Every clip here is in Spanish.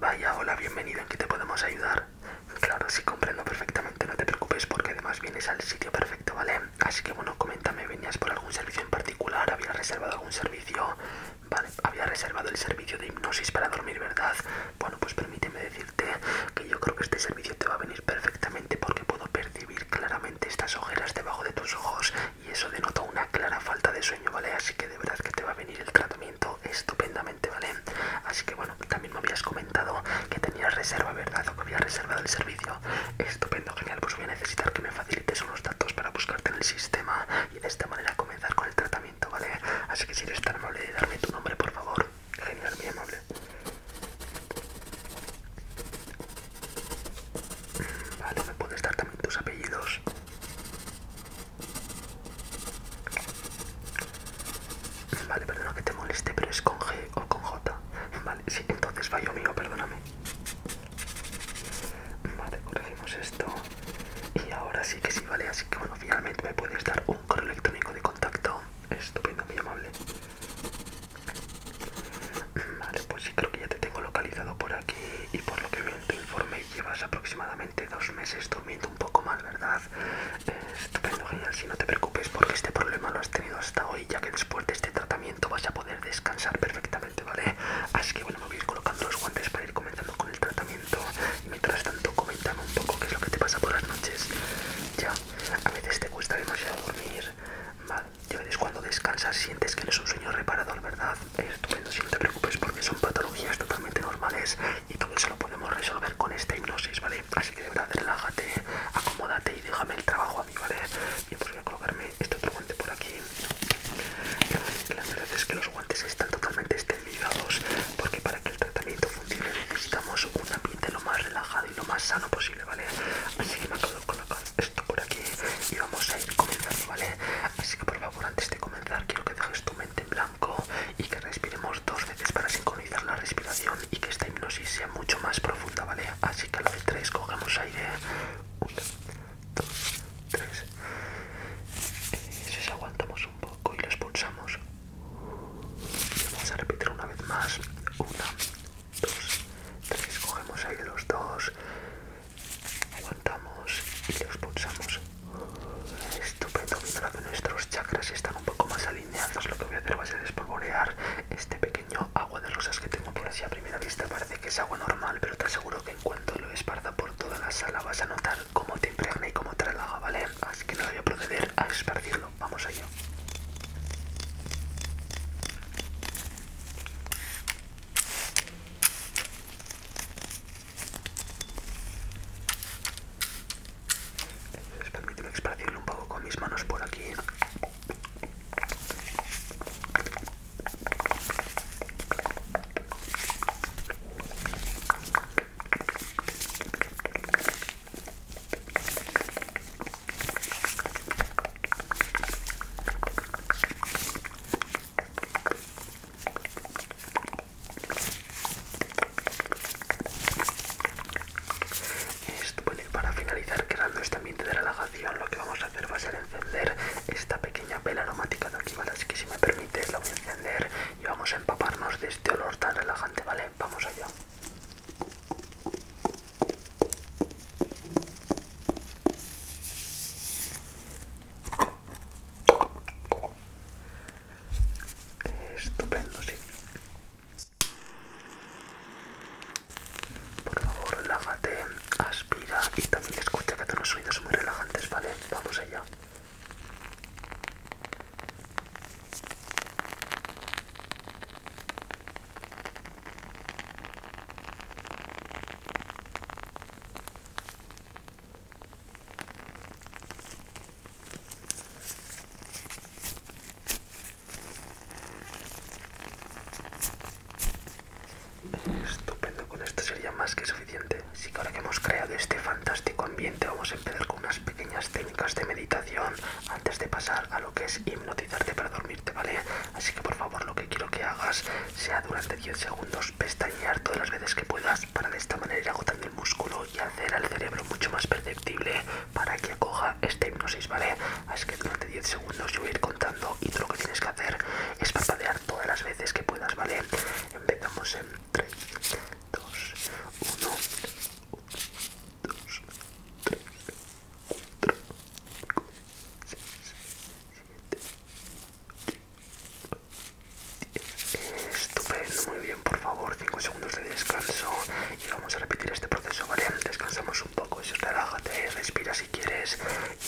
Vaya, hola, bienvenido, ¿en qué te podemos ayudar? Claro, sí, comprendo perfectamente, no te preocupes porque además vienes al sitio perfecto, ¿vale? Así que bueno, coméntame, ¿venías por algún servicio en particular? ¿Habías reservado algún servicio? Vale, había reservado el servicio de hipnosis para dormir, ¿verdad? Bueno, pues permíteme decirte que yo creo que este servicio te va a venir perfectamente porque puedo percibir claramente estas ojeras debajo de tus ojos y eso denota una clara falta de sueño, ¿vale? Así que de verdad que te va a venir el tratamiento estupendamente, ¿vale? Así que bueno, también me habías comentado que tenías reserva, ¿verdad? O que había reservado el servicio. Estupendo, genial. Pues voy a necesitar que me facilites unos datos para buscarte en el sistema y de esta manera comenzar con el tratamiento, ¿vale? Así que si eres tan amable de darme tu nombre, por favor. Genial, muy amable. Vale, me puedes dar también tus apellidos. Vale, perdona que te moleste, pero es con G o con J. Vale, sí, entonces fallo mío, perdóname. Vale, corregimos esto. Y ahora sí que sí, vale. Así que bueno, finalmente me puedes dar un correo electrónico de contacto. Estupendo, muy amable. Vale, pues sí, creo que ya te tengo localizado por aquí. Y por lo que veo en tu informe, llevas aproximadamente dos meses durmiendo un poco más, ¿verdad? Eh, estupendo, genial. Si no te preocupes porque este problema lo has tenido hasta hoy, ya que después de este tratamiento vas a poder descansar perfectamente, ¿vale? Así que bueno, me voy a ir colocando los guantes para ir comenzando con el tratamiento. mientras tanto, coméntame un poco qué es lo que te pasa por las noches. Ya, a veces te cuesta demasiado dormir. Vale, ya ves cuando descansas sientes que no es un sueño reparador, ¿verdad? estupendo, si no te preocupes porque son patologías totalmente normales y todo eso lo podemos resolver con esta hipnosis, ¿vale? Así que de verdad relájate, acomódate y déjame el trabajo a mí, ¿vale? yo pues voy a colocarme este otro guante por aquí. La verdad es que los guantes están totalmente esterilizados porque para que el tratamiento funcione necesitamos un ambiente lo más relajado y lo más sano posible, ¿vale? Así que me acabo de colocar esto por aquí y vamos a ir comenzando, ¿vale? Así que por favor, antes de comenzar quiero que dejes tu mente en blanco y que respiremos dos veces para sincronizar la respiración y que esta hipnosis sea mucho más profunda, ¿vale? Así que a la vez tres cogemos aire. Una, dos, tres. Eh, aguantamos un poco y los pulsamos. vamos a repetir una vez más. Una, dos, tres. Cogemos aire los dos. Aguantamos y los pulsamos. Estupendo, mientras que nuestros chakras están un poco más alineados, lo que voy a hacer va a ser espolvorear este pequeño agua de rosas que tengo por así a primera vista. Parece que es agua normal, pero te aseguro que en cuanto lo esparza por toda la sala vas a notar cómo te impregna y cómo te relaja, ¿vale? Así que no voy a proceder a esparcirlo. Vamos allá. Permíteme esparcirlo un poco con mis manos por aquí. Esto, bueno, y para finalizar, creando este ambiente de relajación, lo que vamos a hacer va a ser encender esta pequeña vela aromática de aquí, ¿vale? Así que si me permite la voy a encender y vamos a empaparnos de este olor tan relajante, ¿vale? Vamos allá. Estupendo, sí. Por favor, relájate, aspira y también escucha que todos los oídos muy relajantes, ¿vale? Vamos allá. Estupendo, con esto sería más que suficiente. Así que ahora que hemos creado este fantástico ambiente, vamos a empezar con unas pequeñas técnicas de meditación antes de pasar a lo que es hipnotizarte para dormirte, ¿vale? Así que por favor, lo que quiero que hagas sea durante 10 segundos pestañear todas las veces que puedas para de esta manera ir agotando el músculo y hacer al cerebro mucho más perceptible para que acoja esta hipnosis, ¿vale? Así que durante 10 segundos yo voy a ir contando y tú lo que tienes que hacer es parpadear todas las veces que puedas, ¿vale? Empezamos en 3, 2, 1, 2, 3, 5, 6, 7, Estupendo, muy bien, por favor, 5 segundos de descanso y vamos a repetir este proceso, ¿vale? Descansamos un poco, eso relájate, respira si quieres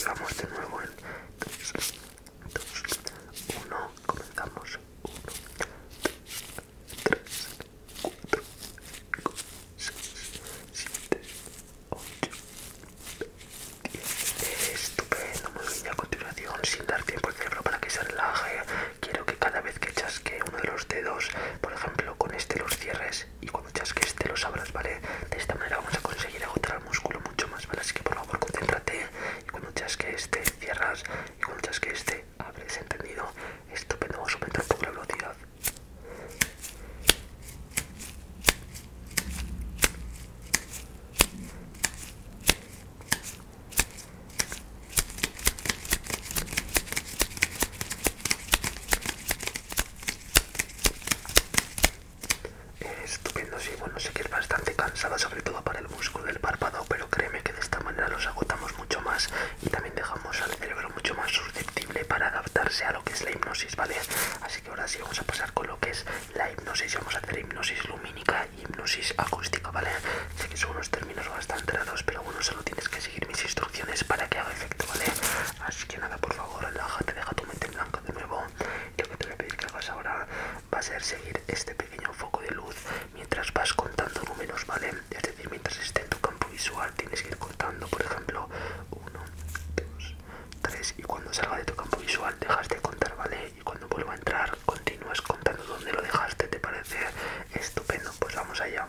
y vamos de nuevo en 3, 2, 1, comenzamos, 1, 2, 3, 4, 5, 6, 7, 8, 10, estupendo, muy bien, ya continuamos sin dar tiempo al cerebro para que se relaje. Quiero que cada vez que chasque uno de los dedos, por ejemplo con este los cierres y cuando chasque este los abras, ¿vale? De esta manera vamos a conseguir agotar el músculo mucho más, ¿vale? Así que por favor concéntrate y cuando chasque este cierras y cuando chasque este abres, ¿entendido? Estupendo, vamos a aumentar un la velocidad. Estupendo, sí, bueno, sé que es bastante cansada, sobre todo para el músculo del párpado, pero créeme que de esta manera los agotamos mucho más y también dejamos al cerebro mucho más susceptible para adaptarse a lo que es la hipnosis, ¿vale? Así que ahora sí vamos a pasar con lo que es la hipnosis, vamos a hacer hipnosis lumínica hipnosis acústica, ¿vale? Sé que son unos términos bastante raros, pero bueno, solo tienes que seguir mis instrucciones para que haga efecto, ¿vale? Así que nada, por favor, relájate, deja tu mente en blanco de nuevo. Lo que te voy a pedir que hagas ahora va a ser seguir este pequeño foco de luz mientras vas contando números, ¿vale? Es decir, mientras esté en tu campo visual tienes que ir contando, por ejemplo, 1, 2, 3 y cuando salga de tu campo visual dejas de contar, ¿vale? y cuando vuelva a entrar continúas contando dónde lo dejaste, ¿te parece? Estupendo, pues vamos allá.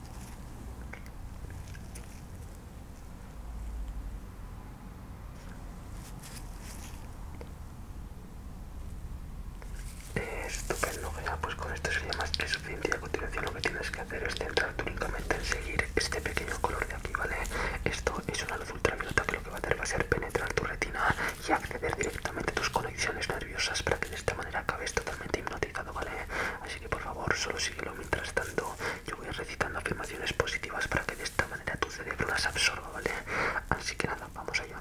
estupendo, ya, pues con esto sería más que suficiente. A continuación, lo que tienes que hacer es centrarte únicamente en seguir este pequeño color de aquí, ¿vale? Esto es una luz ultravioleta que lo que va a hacer va a ser penetrar tu retina y acceder directamente a tus conexiones nerviosas para que de esta manera acabes totalmente hipnotizado, ¿vale? Así que por favor, solo síguelo mientras tanto. Yo voy recitando afirmaciones positivas para que de esta manera tu cerebro las absorba, ¿vale? Así que nada, vamos allá.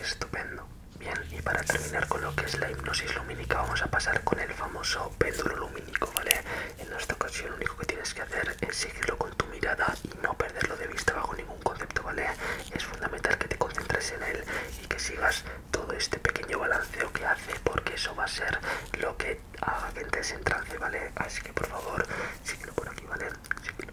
estupendo. Bien, y para terminar con lo que es la hipnosis lumínica, vamos a pasar con el famoso péndulo lumínico, ¿vale? En esta ocasión lo único que tienes que hacer es seguirlo con tu mirada y no perderlo de vista bajo ningún concepto, ¿vale? Es fundamental que te concentres en él y que sigas todo este pequeño balanceo que hace, porque eso va a ser lo que haga que entres en trance, ¿vale? Así que por favor, síguelo por aquí, ¿vale? Síguelo.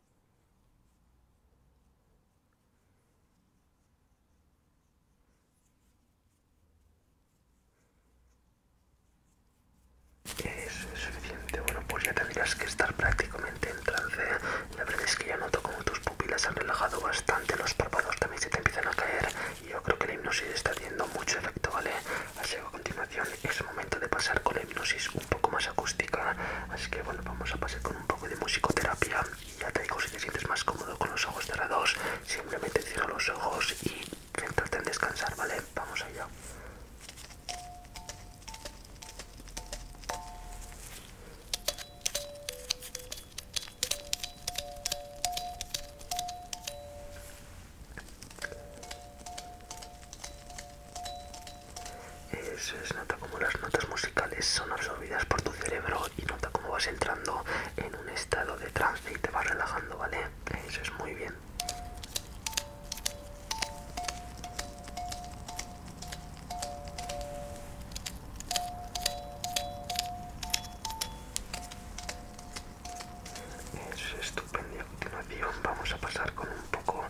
Eso es suficiente. Bueno, pues ya tendrías que estar prácticamente en trance. La verdad es que ya noto como tus pupilas han relajado bastante, los párpados también se te empiezan a caer. Y yo creo que la hipnosis está haciendo mucho efecto, ¿vale? Así que a continuación es momento de pasar con la hipnosis un poco más acústica. Así que bueno, vamos a pasar con un poco de musicoterapia. ya te digo, si te sientes más cómodo con los ojos cerrados, simplemente cierra los ojos y tratan descansar, ¿vale? Vamos allá. Eso es, nota como las notas musicales son absorbidas por tu cerebro y nota cómo vas entrando en un estado de trance y te vas relajando, ¿vale? Eso es muy bien. es estupendo. A continuación vamos a pasar con un un poco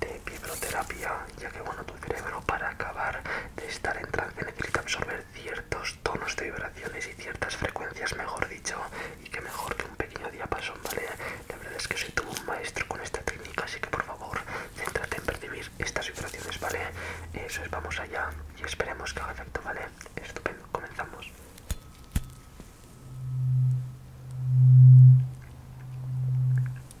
de fibroterapia, ya que bueno, tu cerebro para acabar de estar en trance necesita absorber ciertos tonos de vibraciones y ciertas frecuencias, mejor dicho, y que mejor que un pequeño diapasón, ¿vale? La verdad es que soy todo un maestro con esta técnica, así que por favor, céntrate en percibir estas vibraciones, ¿vale? Eso es, vamos allá y esperemos que haga efecto, ¿vale? Estupendo, comenzamos.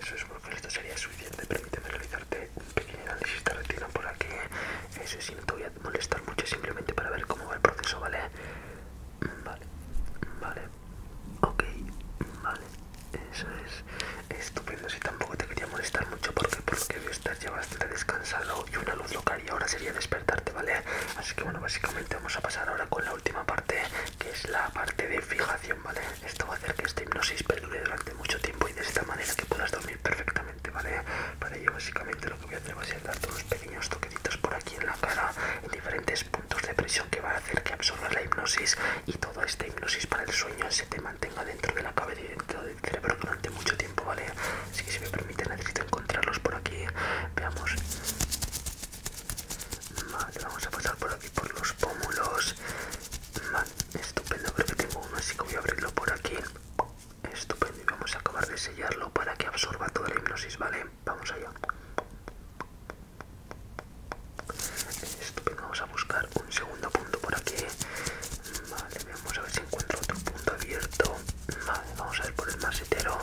Eso es porque esto sería suficiente. Permíteme realizarte un pequeño análisis de retina por aquí. Eh, eso sí, no te voy a molestar mucho simplemente para ver cómo va el proceso, ¿vale? Vale, vale, ok, vale. Eso es estupendo. Si tampoco te quería molestar mucho porque por lo que veo estás ya bastante descansado y una luz local y ahora sería despertarte, ¿vale? Así que bueno, básicamente vamos a pasar ahora con la última parte que es la parte de fijación, ¿vale? Esto va a hacer que esta hipnosis perdure durante mucho tiempo y de esta manera que puedas dormir perfectamente, ¿vale? Para ello básicamente lo que voy a hacer va a ser darte unos pequeños toquecitos por aquí en la cara, en diferentes puntos de presión que van a hacer que absorba la hipnosis y toda esta hipnosis para el sueño se te mantenga dentro de la cabeza y dentro del cerebro durante mucho tiempo, ¿vale? Así que si me permite necesito encontrarlos por aquí. Veamos. Vale, vamos a pasar por aquí por los pómulos. Vale, estupendo, creo que tengo uno, así que voy a abrirlo por aquí. Estupendo, y vamos a acabar de sellarlo para que absorba toda la hipnosis, ¿vale? Vamos allá. Estupendo, vamos a buscar un segundo punto por aquí. Vale, vamos a ver si encuentro otro punto abierto. vamos a ver por el masetero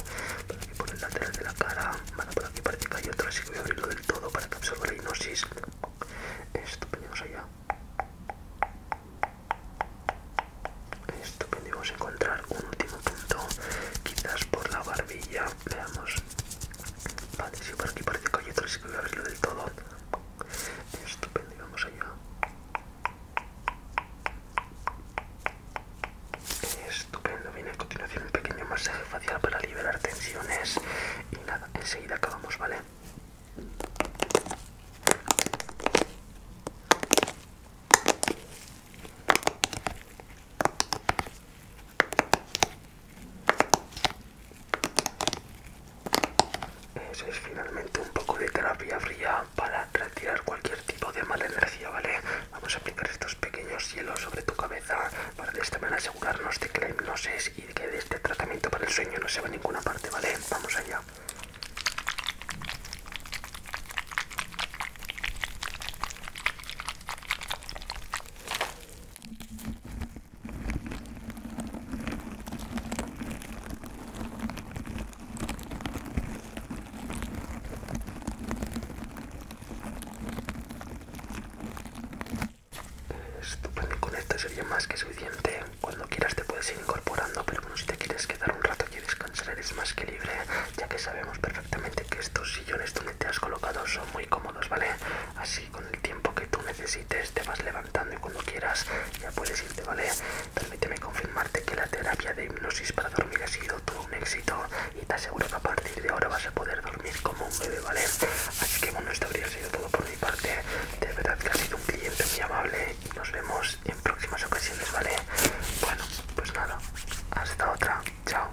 por el lateral de la cara. Vale, por aquí parece que hay otra, así que voy a abrirlo del todo para que absorba la hipnosis. vamos allá. Estupendo, y vamos a encontrar un último punto, quizás por la barbilla. Veamos. Vale, si por aquí parece que hay otro, así que voy a abrirlo del todo. Estupendo, y vamos allá. Estupendo, viene a continuación un pequeño masaje facial para liberar tensiones y nada, enseguida acabamos, ¿vale? Eso es finalmente un poco de terapia fría para retirar cualquier tipo de mala energía, ¿vale? Vamos a aplicar estos pequeños hielos sobre tu cabeza para de esta manera asegurarnos de que la hipnosis y de que este tratamiento para el sueño no se va a ninguna parte, ¿vale? Vamos allá. Estupendo, con esto sería más que suficiente. Cuando quieras te puedes ir incorporando, pero bueno, si te quieres quedar un rato y descansar eres más que libre, ya que sabemos perfectamente que estos sillones donde te has colocado son muy cómodos, ¿vale? Así con el tiempo que tú necesites te vas levantando y cuando quieras ya puedes irte, ¿vale? Permíteme confirmarte que la terapia de hipnosis para dormir ha sido todo un éxito y te aseguro que a partir de ahora vas a poder dormir como un bebé, ¿vale? Así que bueno, esto habría sido todo por mi parte. De verdad que ha sido un cliente muy amable y nos vemos en próximas ocasiones, ¿vale? Bueno, pues nada, hasta otra, chao.